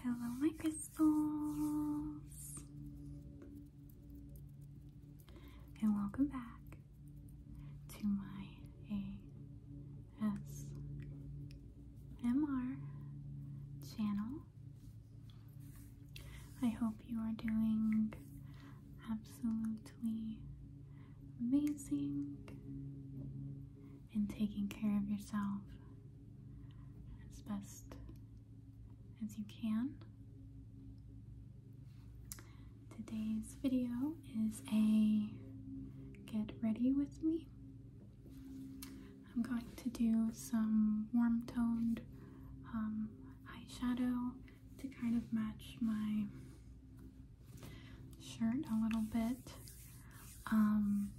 Hello, my crystals, and welcome back to my ASMR channel. I hope you are doing absolutely amazing and taking care of yourself as best as you can. Today's video is a get ready with me. I'm going to do some warm toned um, eyeshadow to kind of match my shirt a little bit. Um,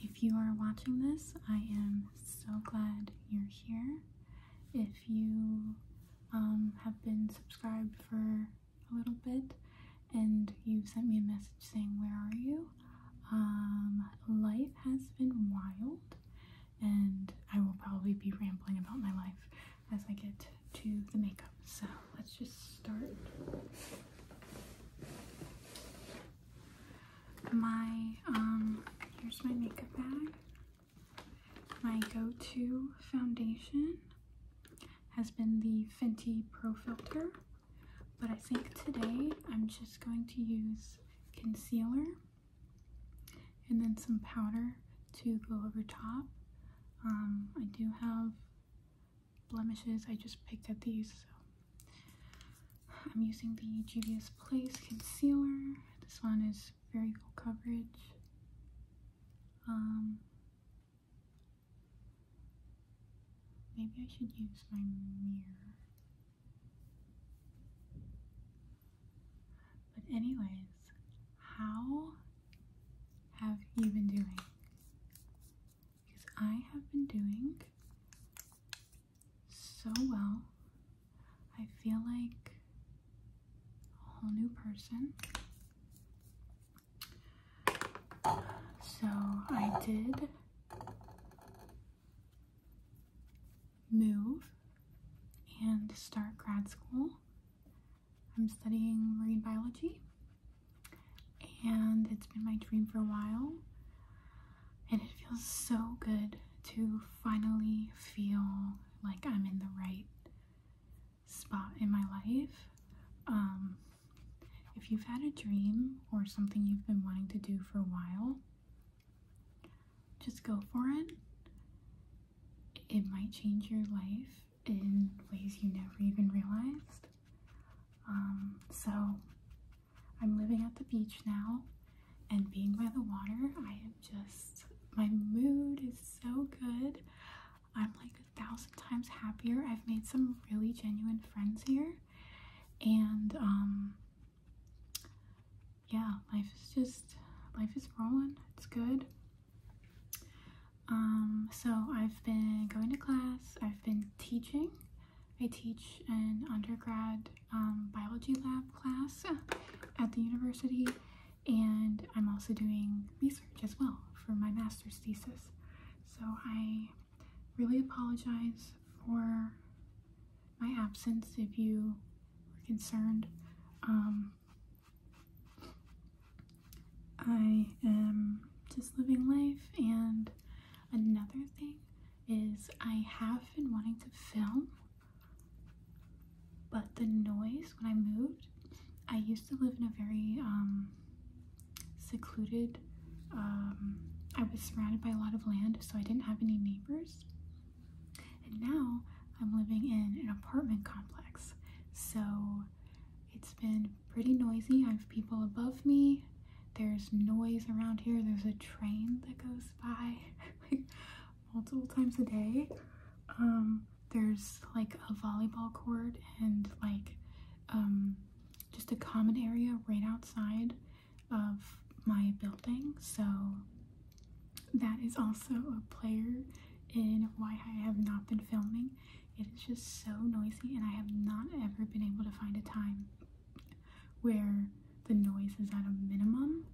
if you are watching this, I am so glad you're here. If you um, have been subscribed for a little bit and you sent me a message saying, Where are you? Um, life has been wild, and I will probably be rambling about my life as I get to the makeup. So let's just start. My, um, here's my makeup bag. My go-to foundation has been the Fenty Pro Filter, but I think today I'm just going to use concealer and then some powder to go over top. Um, I do have blemishes, I just picked at these. So. I'm using the Juvia's Place Concealer. This one is very full coverage. Um, maybe I should use my mirror. But, anyways, how have you been doing? Because I have been doing so well. I feel like a whole new person. So, I did move and start grad school I'm studying marine biology, and it's been my dream for a while. And it feels so good to finally feel like I'm in the right spot in my life. Um, if you've had a dream or something you've been wanting to do for a while, just go for it it might change your life in ways you never even realized. Um, so I'm living at the beach now and being by the water, I am just, my mood is so good. I'm like a thousand times happier. I've made some really genuine friends here and um, yeah, life is just life is rolling. It's good. Um, so I've been going to class. I've been teaching. I teach an undergrad um, biology lab class at the university, and I'm also doing research as well for my master's thesis. So I really apologize for my absence if you were concerned. Um, I am just living life, and another thing is I have been wanting to film, but the noise when I moved, I used to live in a very um, secluded. Um, I was surrounded by a lot of land, so I didn't have any neighbors. And now I'm living in an apartment complex. So it's been pretty noisy. I have people above me. There's noise around here. There's a train that goes by multiple times a day. Um, there's like a volleyball court and like um, just a common area right outside of my building. So that is also a player in why I have not been filming. It is just so noisy, and I have not ever been able to find a time where the noise is at a minimum,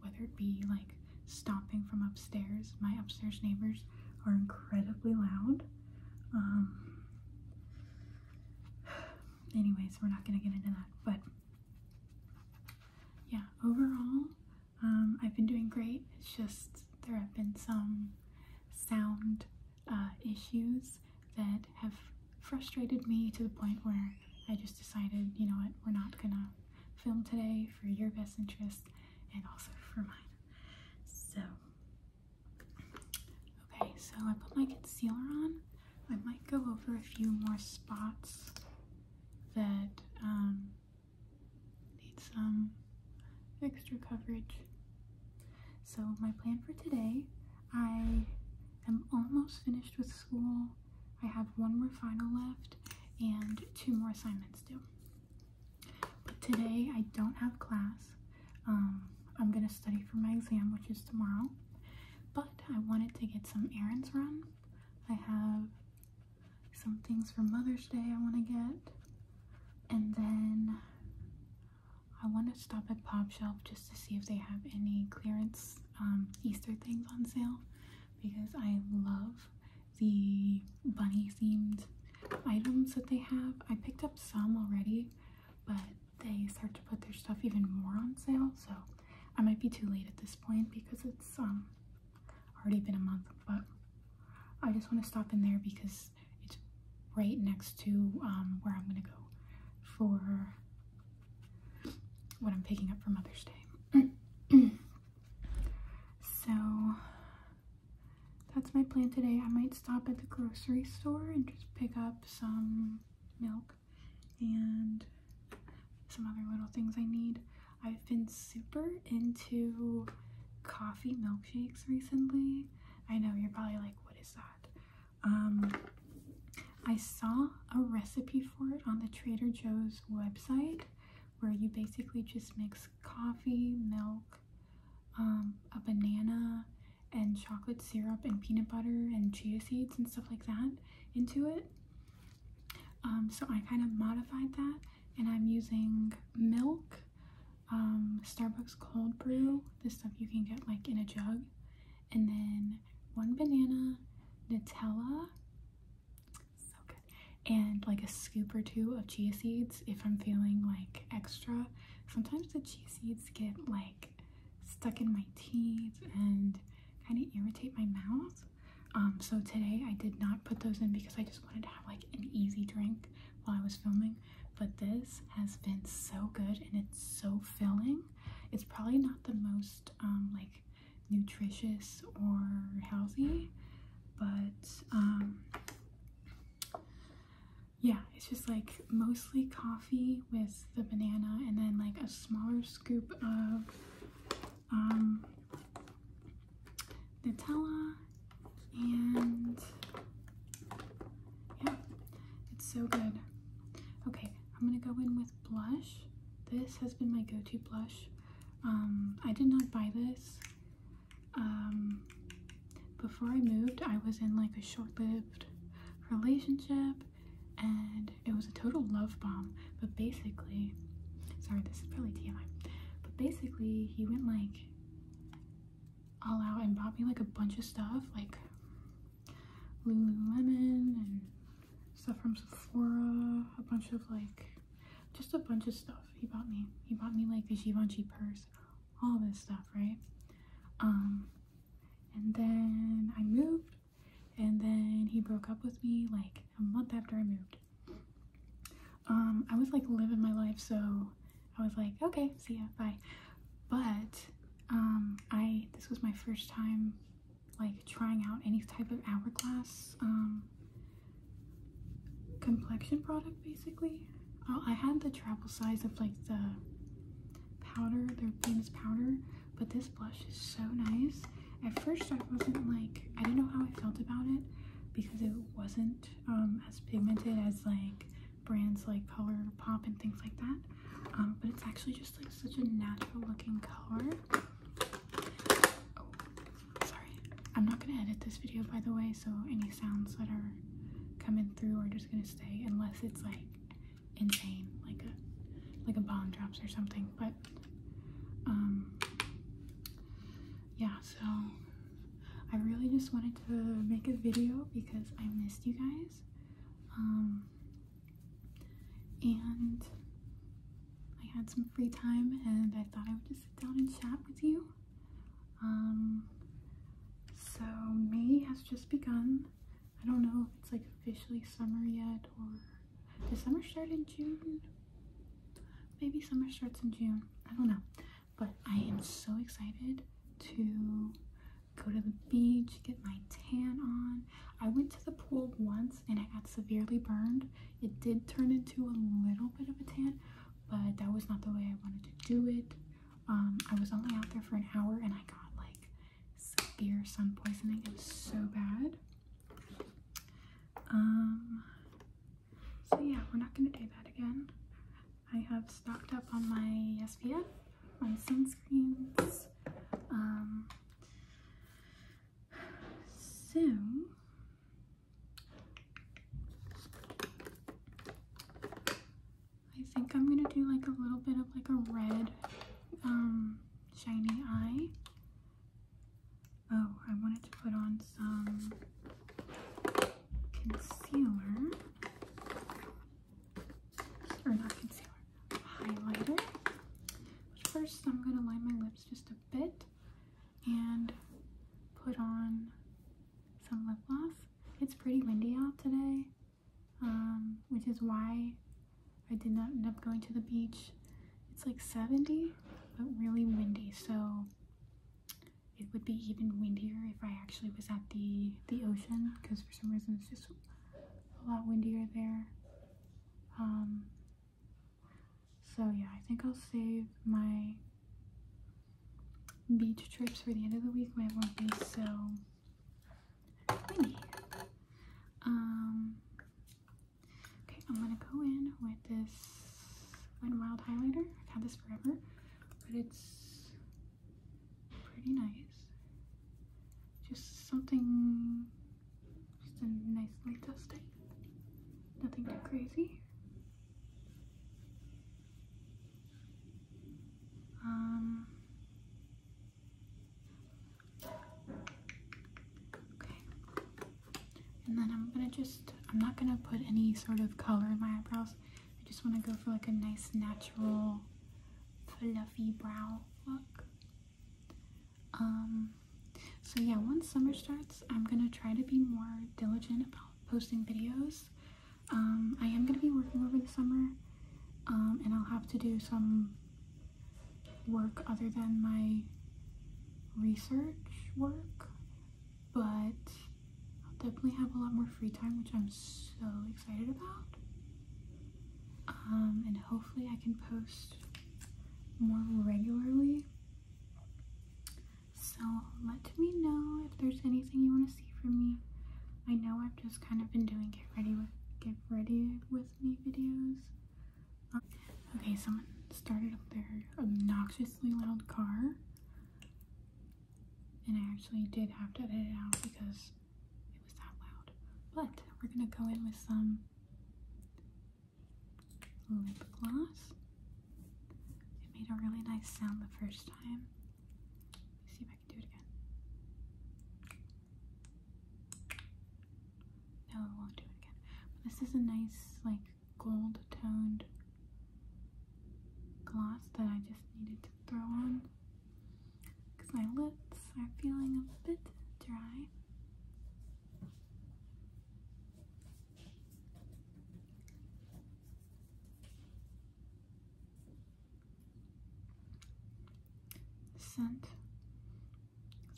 whether it be like stomping from upstairs. My upstairs neighbors are incredibly loud. Um, anyways, we're not gonna get into that, but yeah, overall, um, I've been doing great. It's just there have been some sound uh, issues that have frustrated me to the point where I just decided, you know what, we're not gonna film today for your best interest and also for mine. So, okay, so I put my concealer on. I might go over a few more spots that um, need some extra coverage. So, my plan for today I am almost finished with school. I have one more final left and two more assignments due. But today I don't have class. Um, I'm going to study for my exam, which is tomorrow. But I wanted to get some errands run I have some things for Mother's Day I want to get. And then I want to stop at Pop Shelf just to see if they have any clearance um, Easter things on sale because I love the bunny themed items that they have. I picked up some already, but they start to put their stuff even more on sale, so I might be too late at this point because it's um, already been a month, but I just want to stop in there because it's right next to um, where I'm gonna go for what I'm picking up for Mother's Day. so that's my plan today. I might stop at the grocery store and just pick up some milk and some other little things I need. I've been super into coffee milkshakes recently. I know you're probably like, what is that? Um, I saw a recipe for it on the Trader Joe's website where you basically just mix coffee, milk, um, a banana, and chocolate syrup and peanut butter and chia seeds and stuff like that into it. Um, so I kind of modified that and I'm using milk, um, Starbucks cold brew, this stuff you can get like in a jug, and then one banana, Nutella, and like a scoop or two of chia seeds if I'm feeling like extra. Sometimes the chia seeds get like stuck in my teeth and kind of irritate my mouth. Um, so today I did not put those in because I just wanted to have like an easy drink while I was filming. But this has been so good and it's so filling. It's probably not the most um, like nutritious or healthy, but um, yeah, it's just like most coffee with the banana and then like a smaller scoop of um, Nutella and yeah, it's so good. Okay, I'm gonna go in with blush. This has been my go-to blush. Um, I did not buy this. Um, before I moved, I was in like a short-lived relationship and it was a total love bomb, but basically, sorry, this is probably TMI, but basically, he went like all out and bought me like a bunch of stuff, like Lululemon and stuff from Sephora, a bunch of like just a bunch of stuff he bought me. He bought me like the Givenchy purse, all this stuff, right? Um, and then I moved, and then he broke up with me like a month after I moved. Um, I was like living my life, so I was like, okay, see ya, bye. But um, I this was my first time like trying out any type of hourglass um, complexion product, basically. Uh, I had the travel size of like the powder, their famous powder, but this blush is so nice. At first, I wasn't like, I didn't know how I felt about it because it wasn't um, as pigmented as like brands like Color Pop and things like that. Um, but it's actually just like such a natural looking color. Oh, sorry. I'm not gonna edit this video by the way, so any sounds that are coming through are just gonna stay unless it's like insane, like a like a bomb drops or something. But um, yeah, so I really just wanted to make a video because I missed you guys. Um, and I had some free time and I thought I would just sit down and chat with you. Um, so May has just begun. I don't know if it's like officially summer yet or does summer start in June? Maybe summer starts in June. I don't know. But I am so excited to go to the beach, get my tan on. I went to the pool once and I got severely burned. It did turn into a little bit of a tan, but that was not the way I wanted to do it. Um, I was only out there for an hour and I got like severe sun poisoning. It was so bad. Um, so yeah, we're not gonna do that again. I have stocked up on my SPF, my sunscreens. Um, so I think I'm gonna do like a little bit of like a red um, shiny eye. Oh, I wanted to put on some concealer. Or not concealer, highlighter. first, I'm gonna line my lips just a bit and put on some lip gloss. It's pretty windy out today, um, which is why I did not end up going to the beach. It's like 70, but really windy, so it would be even windier if I actually was at the, the ocean, because for some reason it's just a lot windier there. Um, so yeah, I think I'll save my beach trips for the end of the week might won't be so windy. Um, okay, I'm gonna go in with this Wet Wild highlighter. I've had this forever, but it's pretty nice. Just something, just a nice light dusting. Nothing too crazy. Um, okay. And then I'm gonna just, I'm not gonna put any sort of color in my eyebrows. I just wanna go for like a nice natural fluffy brow look. Um, so yeah, once summer starts, I'm gonna try to be more diligent about posting videos. Um, I am going to be working over the summer, um, and I'll have to do some work other than my research work, but I'll definitely have a lot more free time, which I'm so excited about. Um, and hopefully I can post more regularly. So let me know if there's anything you want to see from me. I know I've just kind of been doing get ready with get ready with me videos. Um, okay, someone started up their obnoxiously loud car. And I actually did have to edit it out because it was that loud. But we're gonna go in with some lip gloss. It made a really nice sound the first time see if I can do it again. No, won't do it again. this is a nice, like, gold toned gloss that I just needed to throw on because my lips are feeling a bit dry. The scent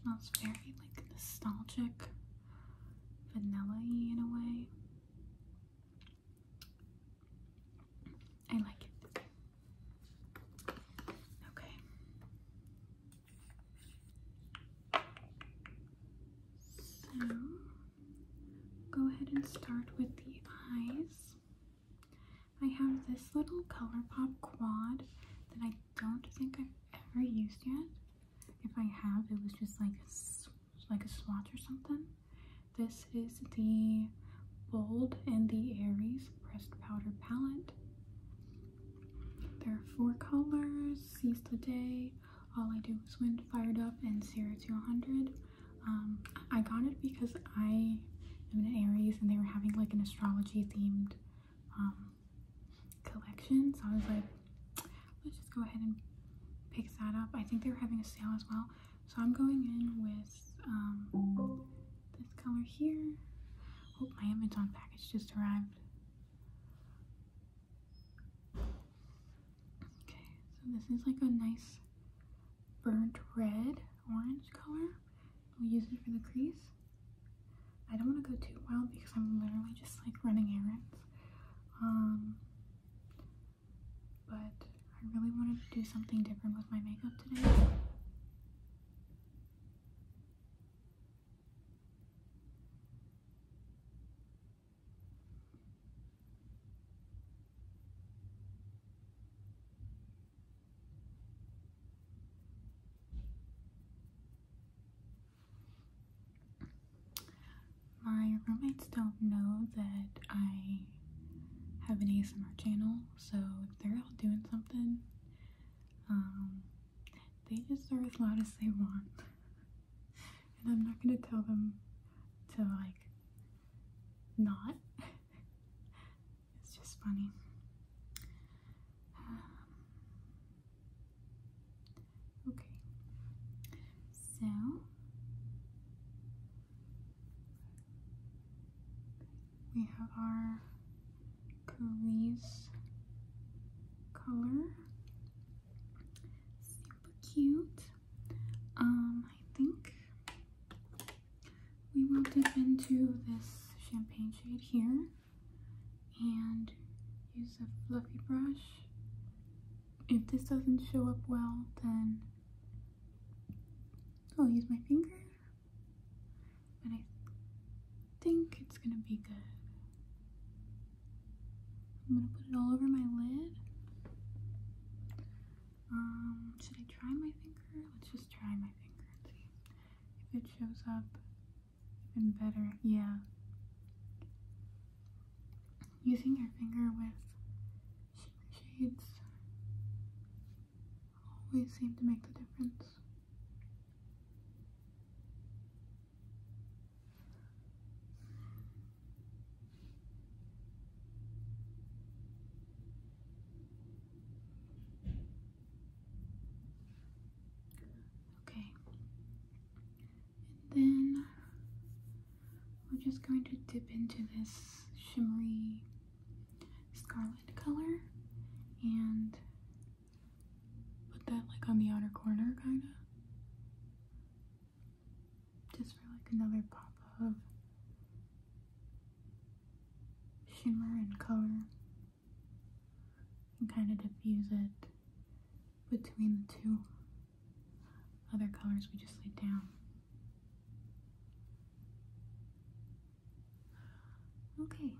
smells very like nostalgic, vanilla in a way. I like it. Okay. So Go ahead and start with the eyes. I have this little ColourPop quad that I don't think I've ever used yet. If I have, it was just like a, like swatch or something. This is the Bold and the Aries Pressed Powder Palette. There are four colors, Seize the Day, all I do is win fired up and zero 200. Um, I got it because I am an Aries and they were having like an astrology themed um, collection. So I was like, let's just go ahead and pick that up. I think they were having a sale as well. So I'm going in with um, this color here. Oh, my Amazon package just arrived. Okay, so this is like a nice burnt red orange color. we will use it for the crease. I don't want to go too wild because I'm literally just like running errands. Um, but I really wanted to do something different with my makeup today. My roommates don't know that I have an ASMR channel, so if they're out doing something, um, they just are as loud as they want. and I'm not gonna tell them to like not. it's just funny. okay, so we have our Curly's color cute. Um, I think we will dip into this champagne shade here and use a fluffy brush. If this doesn't show up well, then I'll use my finger. But I think it's gonna be good. I'm gonna put it all over my lid. Um, should I try my finger? Let's just try my finger and see if it shows up even better. Yeah. Using your finger with shades always seem to make the difference. Okay, then we're just going to dip into this shimmery scarlet color and Put that like on the outer corner, kinda. Just for like another pop of shimmer and color. And kind of diffuse it between the two other colors we just laid down. Okay,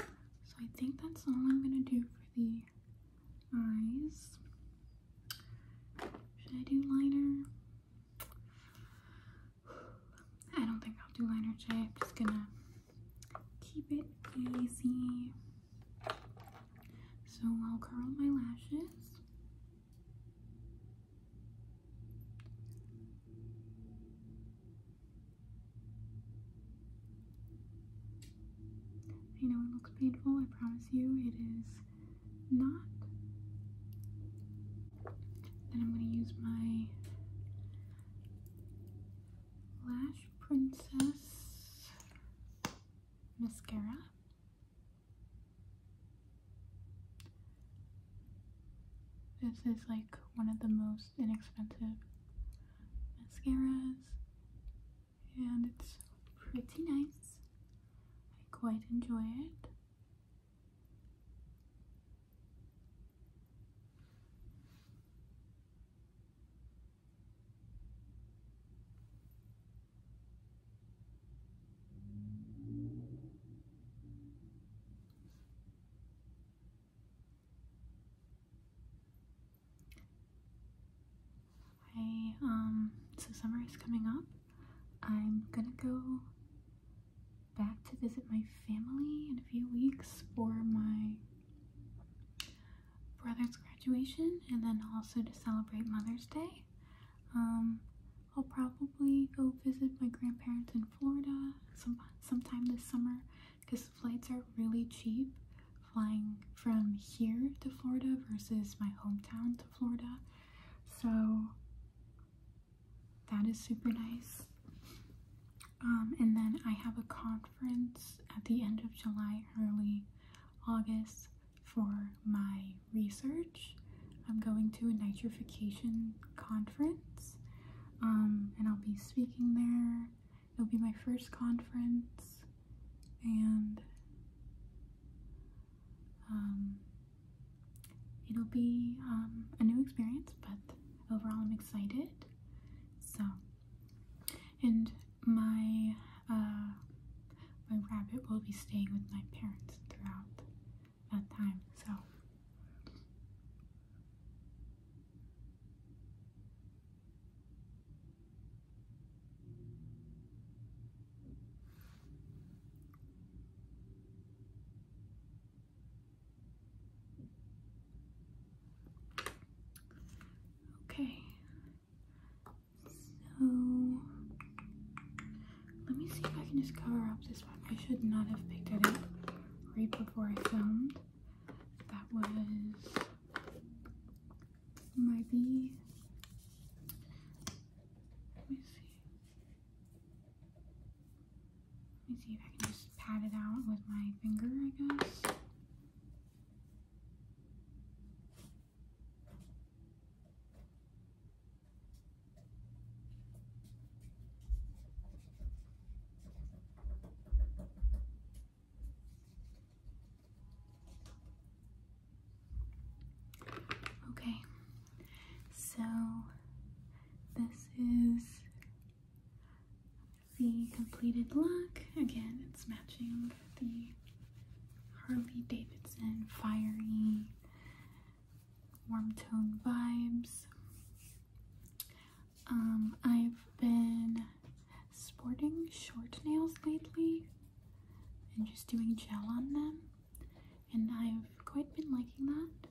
so I think that's all I'm gonna do for the eyes. Should I do liner? I don't think I'll do liner today. am just gonna keep it easy. So I'll curl my lashes. I know it looks painful, I promise you it is not. Then I'm going to use my Lash Princess mascara. This is like one of the most inexpensive mascaras and it's pretty nice. I quite enjoy it. I, um, so summer is coming up. I'm gonna go back to visit my family in a few weeks for my brother's graduation and then also to celebrate Mother's Day. Um, I'll probably go visit my grandparents in Florida some, sometime this summer because flights are really cheap flying from here to Florida versus my hometown to Florida. So that is super nice. Um, and then I have a conference at the end of July, early August for my research. I'm going to a nitrification conference um, and I'll be speaking there It'll be my first conference, and um, it'll be um, a new experience, but overall, I'm excited. So, and my uh, my rabbit will be staying with my parents throughout that time, so Okay, so let me see if I can just cover up this one. I should not have picked it up right before I filmed that was maybe let me see let me see if I can just pat it out with my finger I guess Okay, so this is the completed look. Again, it's matching the Harley Davidson fiery warm tone vibes. Um, I've been sporting short nails lately and just doing gel on them, and I've quite been liking that.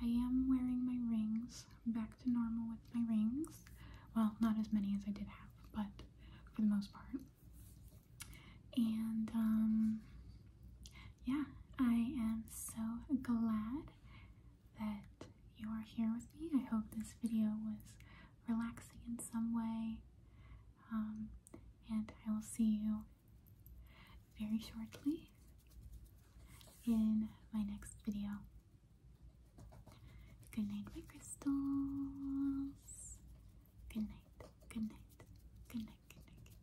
I am wearing my rings, back to normal with my rings. Well, not as many as I did have, but for the most part. And um, yeah, I am so glad that you are here with me. I hope this video was relaxing in some way. Um, and I will see you very shortly in my next video. Good night, my crystals. Good night, good night, good night, good night. Good night.